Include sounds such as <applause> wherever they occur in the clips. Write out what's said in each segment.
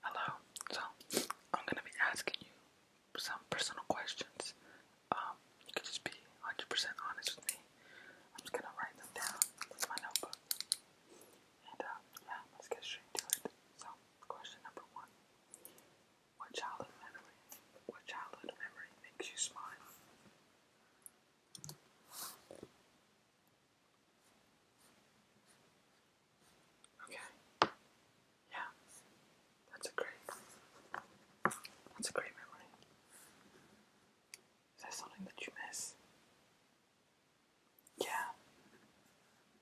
Hello. So I'm gonna be asking you some personal questions. Um, you can just be 100% honest with me. I'm just gonna write them down in my notebook. And uh, yeah, let's get straight to it. So, question number one: What childhood memory? What childhood memory makes you smile? Okay. Yeah. That's a great. That's a great memory. Is there something that you miss? Yeah.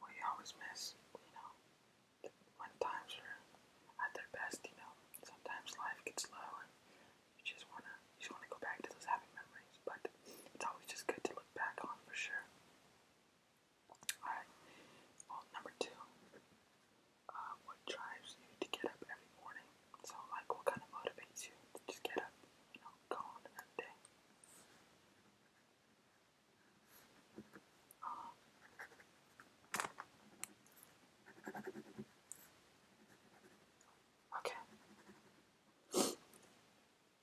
We always miss, you know, when times are at their best, you know, sometimes life gets low and you just wanna you just wanna go back to those happy memories, but it's always just good to look back on for sure. Alright, number two, uh, what drives you to get up every morning? So, like, what kind of motivates you to just get up, you know, go on another day? Um, okay.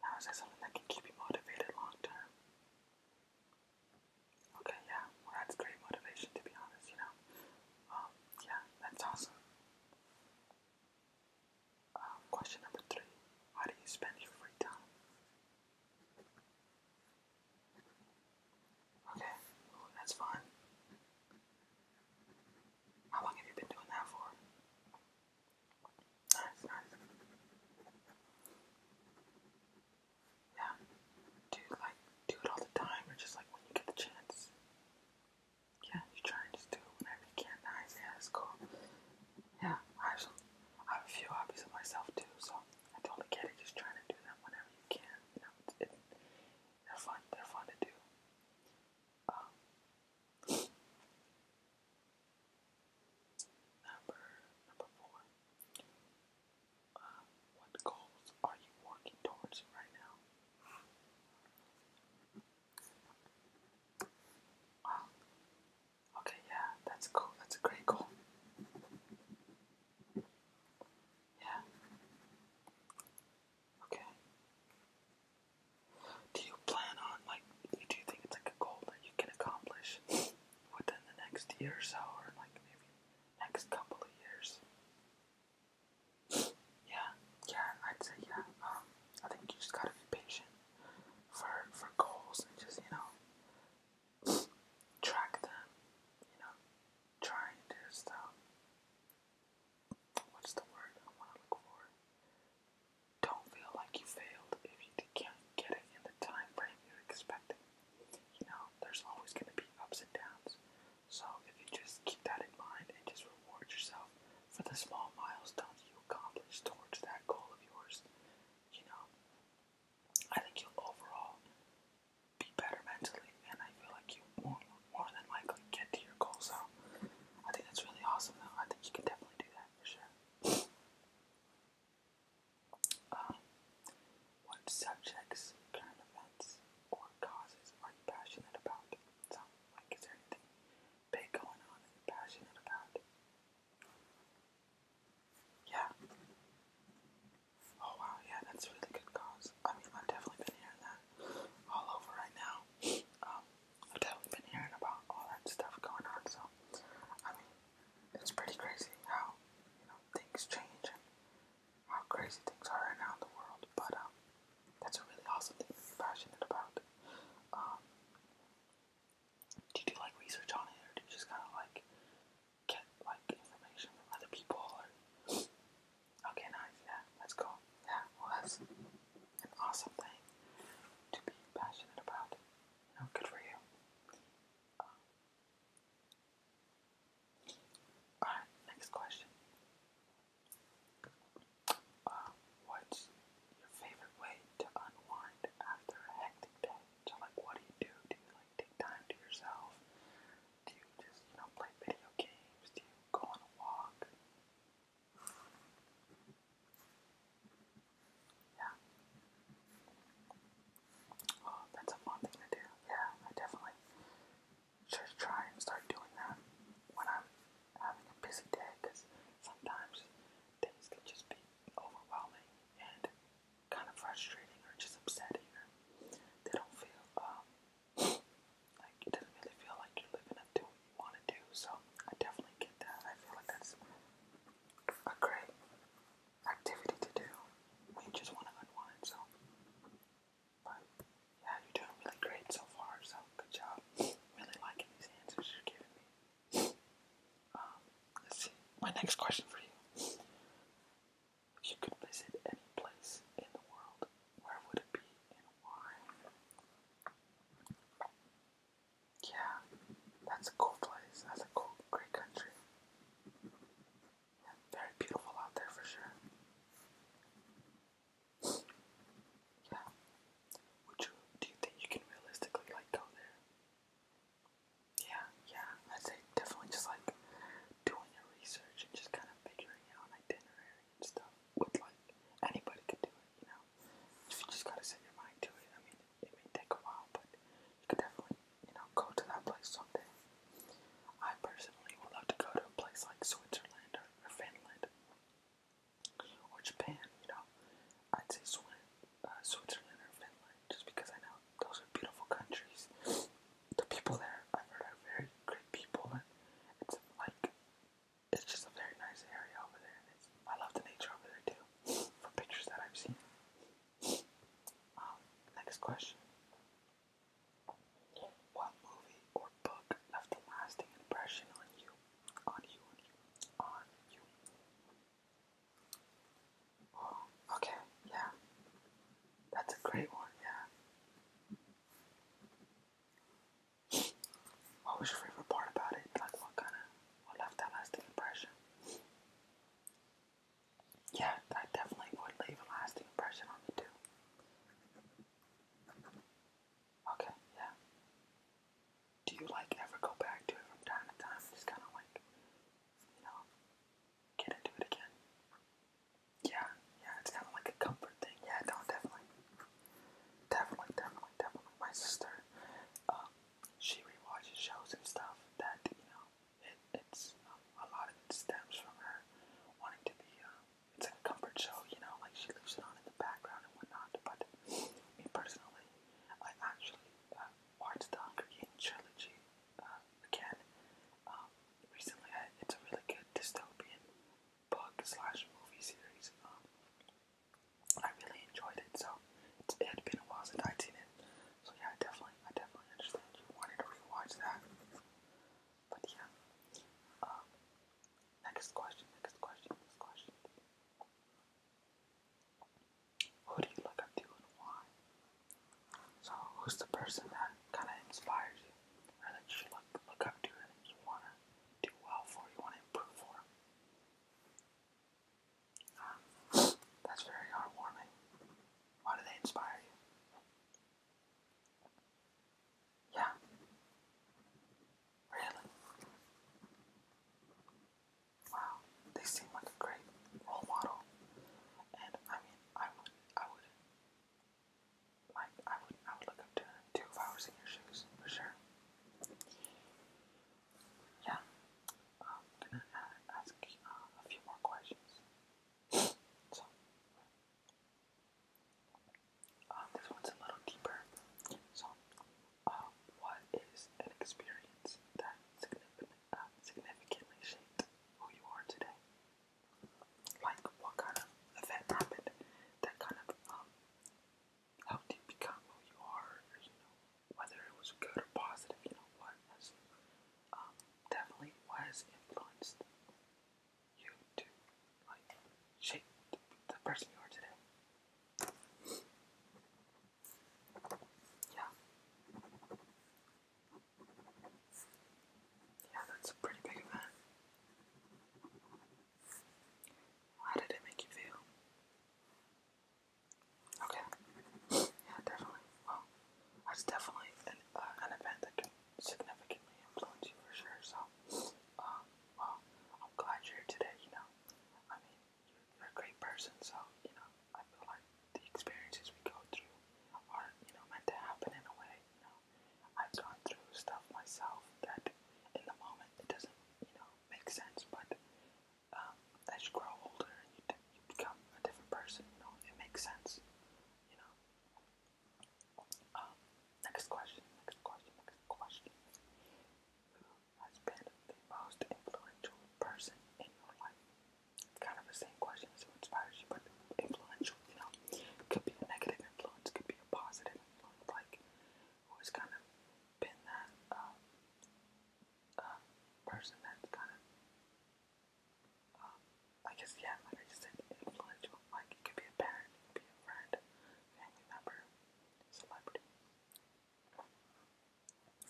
Now that something that can keep you motivated long term? Okay, yeah, that's great motivation to be honest, you know. Um, yeah, that's awesome. Um, question number three. How do you spend your free time? Okay, that's fun. How long have you been doing that for? Nice, nice. Yeah. Do you like do it all the time or just like when you get the chance? Yeah, you try and just do it whenever you can. Nice, yeah, that's cool. Yeah, I have some I have a few hobbies of myself too, so I totally get it, just trying to do them whenever you can. You know, it's, it, they're fun, they're fun to do. Um, Number number four. Uh, what goals are you working towards right now? Wow. Um, okay, yeah, that's cool. That's a great goal. Yeah. Okay. Do you plan on like? Do you think it's like a goal that you can accomplish within the next year or so, or like maybe next couple of years? Yeah, yeah, I'd say yeah. Um, I think you just gotta be patient for for goals and just you know track them. You know, trying to just um, what's the word I want to look for? Don't feel like you failed if you can't get it in the time frame you expected. You know, there's always going to be ups and downs. So if you just keep that in mind and just reward yourself for the small milestones you accomplish towards that goal of yours, you know, I think you'll overall be better mentally, and I feel like you more, more than likely get to your goal. So I think that's really awesome, though. I think you can definitely do that for sure. Um, what subjects, current events, or causes are you passionate about? So, like, is there anything big going on that you're passionate about? Yeah. Oh wow, yeah, that's really good cause. I mean, I've definitely been hearing that all over right now. Um, I've definitely been hearing about all that stuff going on, so I mean, it's pretty crazy how you know things change and how crazy things are right now in the world. But um, that's a really awesome thing to be passionate about. Um, do you do like research on it, or do you just kind of like get like information from other people? Or... Okay, nice. Yeah, that's cool. Yeah, well, that's an awesome thing to be passionate about. You know, good for you. Um, Alright, next question. Uh, what's your favorite way to unwind after a hectic day? So, like, what do you do? Do you, like, take time to yourself? Do you just, you know, play video games? Do you go on a walk? Yeah. Oh, that's a fun thing to do. Yeah, I definitely should try and start doing that when I'm having a busy day because sometimes days can just be overwhelming and kind of frustrating or just upsetting or they don't feel um, <sniffs> like it doesn't really feel like you're living up to want to do. So I definitely get that. I feel like that's a great activity to do when you just want to unwind. So, but yeah, you're doing really great so far. So good job. Really liking these answers you're giving me. Um, let's see. My next question for you: If you could visit any place in the world, where would it be and why? Yeah, that's a cool place. That's a cool, great country. Yeah, very beautiful out there for sure. Yeah. Would you do you think you can realistically like go there? Yeah, yeah. I'd say definitely just like doing your research and just kind of figuring out itinerary and stuff. With like anybody could do it, you know if you just gotta set your mind to it. I mean, it may take a while, but you could definitely, you know, go to that place someday. I personally would love to go to a place like Switzerland or, Finland or Japan. You know, I'd say uh, Switzerland or Finland just because I know those are beautiful countries. The people there I've heard are very great people, and it's like it's just a very nice area over there. I love the nature over there too, from pictures that I've seen. Um, next question. What movie or book left a lasting impression On you, on you, on you. Oh, okay, yeah. That's a great one, yeah. What was your favorite part about it? Like what kind of what left that lasting impression? Yeah, that definitely would leave lasting impression on me too. Okay, yeah. Do you like ever go back to it from time to time? Just kind of like, you know, get into it again. Yeah, yeah, it's kind of like a comfort thing. Yeah, no, definitely. Definitely, definitely, definitely. My sister, um, she rewatches shows and stuff that you know it, it's um, a lot of it stems from her wanting to be. Uh, it's a comfort show, you know, like she leaves it on in the background and whatnot. But me personally, I actually uh, watched the Hunger Games trilogy uh, again um, recently. I, it's a really good dystopian book slash movie series. Um, I really enjoyed it. So it's, it had been a while since I'd seen it. So yeah, I definitely, I definitely understand you wanted to rewatch that. But yeah. Um, next question. Next question. Next question. Who do you look up to and why? So who's the person that kind of inspires you, or that you look look up to, and you wanna do well for, you wanna improve for? <sighs> That's very heartwarming. Why do they inspire you? Yeah. Really? Wow. They seem like a great role model. And I mean I would I would like I would I would look up to them too if I was in your shoes, for sure yeah, um, I'm gonna ask uh, a few more questions. so, um, this one's a little deeper. So, um, what is an experience that uh, significantly shaped who you are today? Like, what kind of event happened that kind of how do you become who you are, you know, whether it was good or positive, you know, what has um, definitely was influenced you to like shape the, the person you are today. Yeah. Yeah, that's a pretty big event. How did it make you feel? Okay. Yeah, definitely. Well, that's definitely an, uh, an event that can significantly influence you for sure. So, um, well, I'm glad you're here today. You know, I mean, you're a great person. So, you know, I feel like the experiences we go through are, you know, meant to happen in a way. You know, I've gone through stuff myself that, in the moment, it doesn't, you know, makes sense, but um, as you grow older, you, you become a different person, you it makes sense, you know. Um, next question, next question, next question. Who has been the most influential person in your life? kind of the same question as inspires you, but influential, you know. Could be a negative influence, could be a positive influence, like who has kind of been that uh, uh, person that's kind of, uh, I guess, yeah, like I just said, influential. Like, it could be a parent, be a friend, family member, celebrity.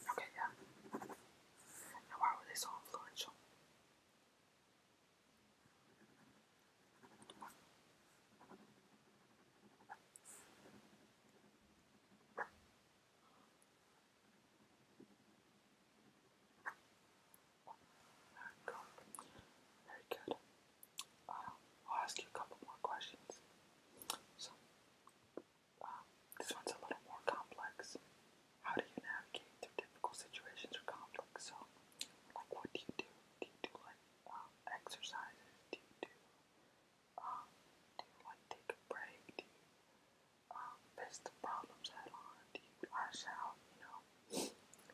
Okay, yeah. Now, why were they so influential? Very good. I'll ask you a couple more questions. So, um, this one's a little more complex. How do you navigate through difficult situations or conflicts? So, like, what do you do? Do you do like um, exercises? Do you do um, do you like take a break? Do you um face the problems head on? Do you lash out? You know,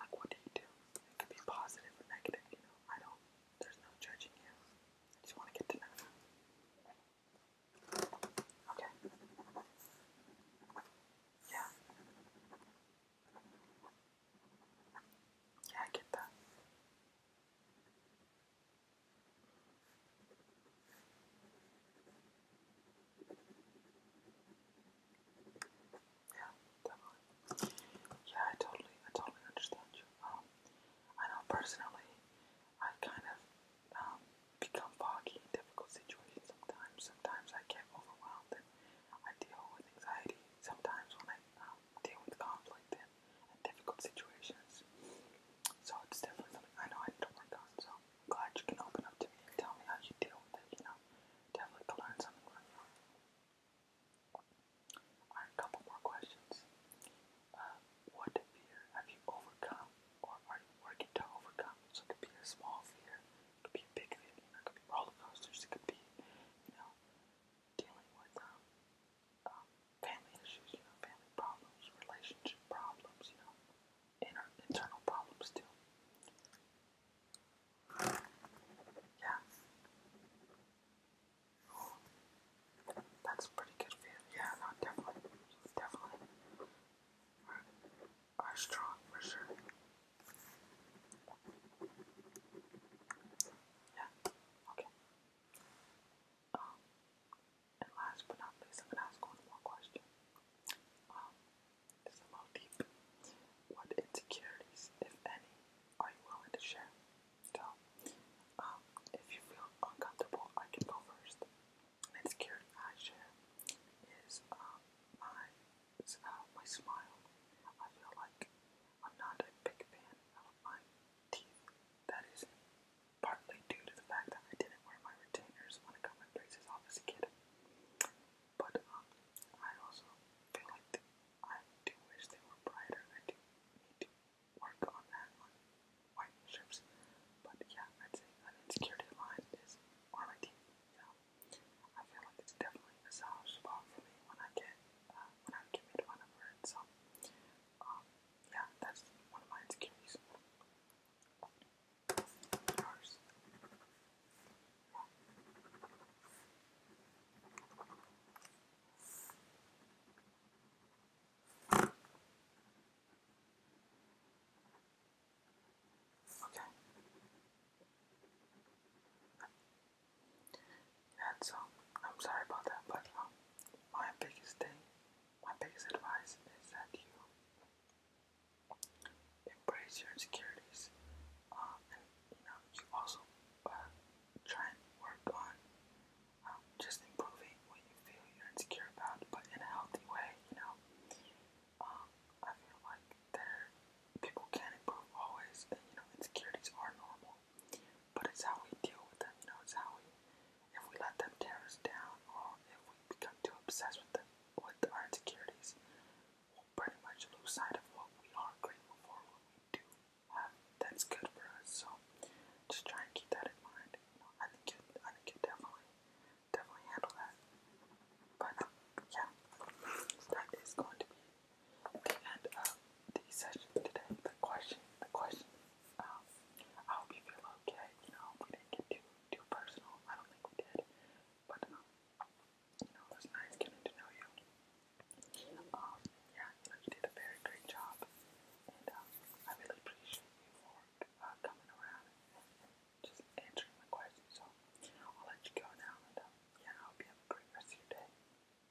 like what do you do? It could be positive or negative. You know, I don't. There's no judging you. I just want to get to know you. Okay. Yeah. Yeah, I get that. Yeah, definitely. Yeah, I totally, I totally understand you. Um, I know personally, I kind of um, become foggy in difficult situations sometimes. Sometimes I get overwhelmed and I deal with anxiety. Sometimes when I um, deal with conflict and, difficult situations. So it's definitely something I know I need to work on. So glad you can open up to me and tell me how you deal with it. You know, definitely can learn something from you. Alright, a couple more questions. Uh, what fear have you overcome, or are you working to overcome? So it could be a small fear, it could be a big fear, you know, it could be roller coasters, it could be, you know, dealing with um, family issues, you know, family problems, relationship problems, you know, inner, internal problems too. Yeah. That's pretty good Yeah, definitely. Definitely. Are, are strong for sure. Yeah. Okay. Um, and last but not least, I'm gonna ask one more question. Um, a little deep. What insecurities, if any, are you willing to share? So, um, if you feel uncomfortable, I can go first. insecurity I share is um, my uh, my smile. I feel like I'm not a big fan of my teeth. That is partly due to the fact that I didn't wear my retainers when I got my braces off as a kid. But um, I also feel like the, I do wish they were brighter. I do need to work on that on white strips. But yeah, I'd say an insecurity of mine is on my teeth. You know, I feel like it's definitely a soft spot for me when I get uh, when I get rid of another So, um, yeah, that's one of my insecurities. Okay. And so, I'm sorry about that, but um, my biggest thing, my biggest advice is that you embrace your insecurities. Um, and you know, you also uh, try and work on um, just improving what you feel you're insecure about, but in a healthy way. You know, um, I feel like there people can improve always, and you know, insecurities are normal. But it's how we deal with them, you know, it's how we, if we let them tear us down or if we become too obsessed with, them, with our insecurities, we'll pretty much lose sight of what we are grateful for, what we do have that's good for us. So just try and keep that in mind. You know, I think you, I think you definitely, definitely handle that. But yeah, that is going to be the end of um, the session today. The question, the question. Um, I hope you feel okay. You know, we didn't get too too personal. I don't think we did, but um, you know, it was nice getting to know you. yeah, you did a very great job, and I really appreciate you for uh, coming around and, just answering my questions. So I'll let you go now, and yeah, I hope you have a great rest of your day.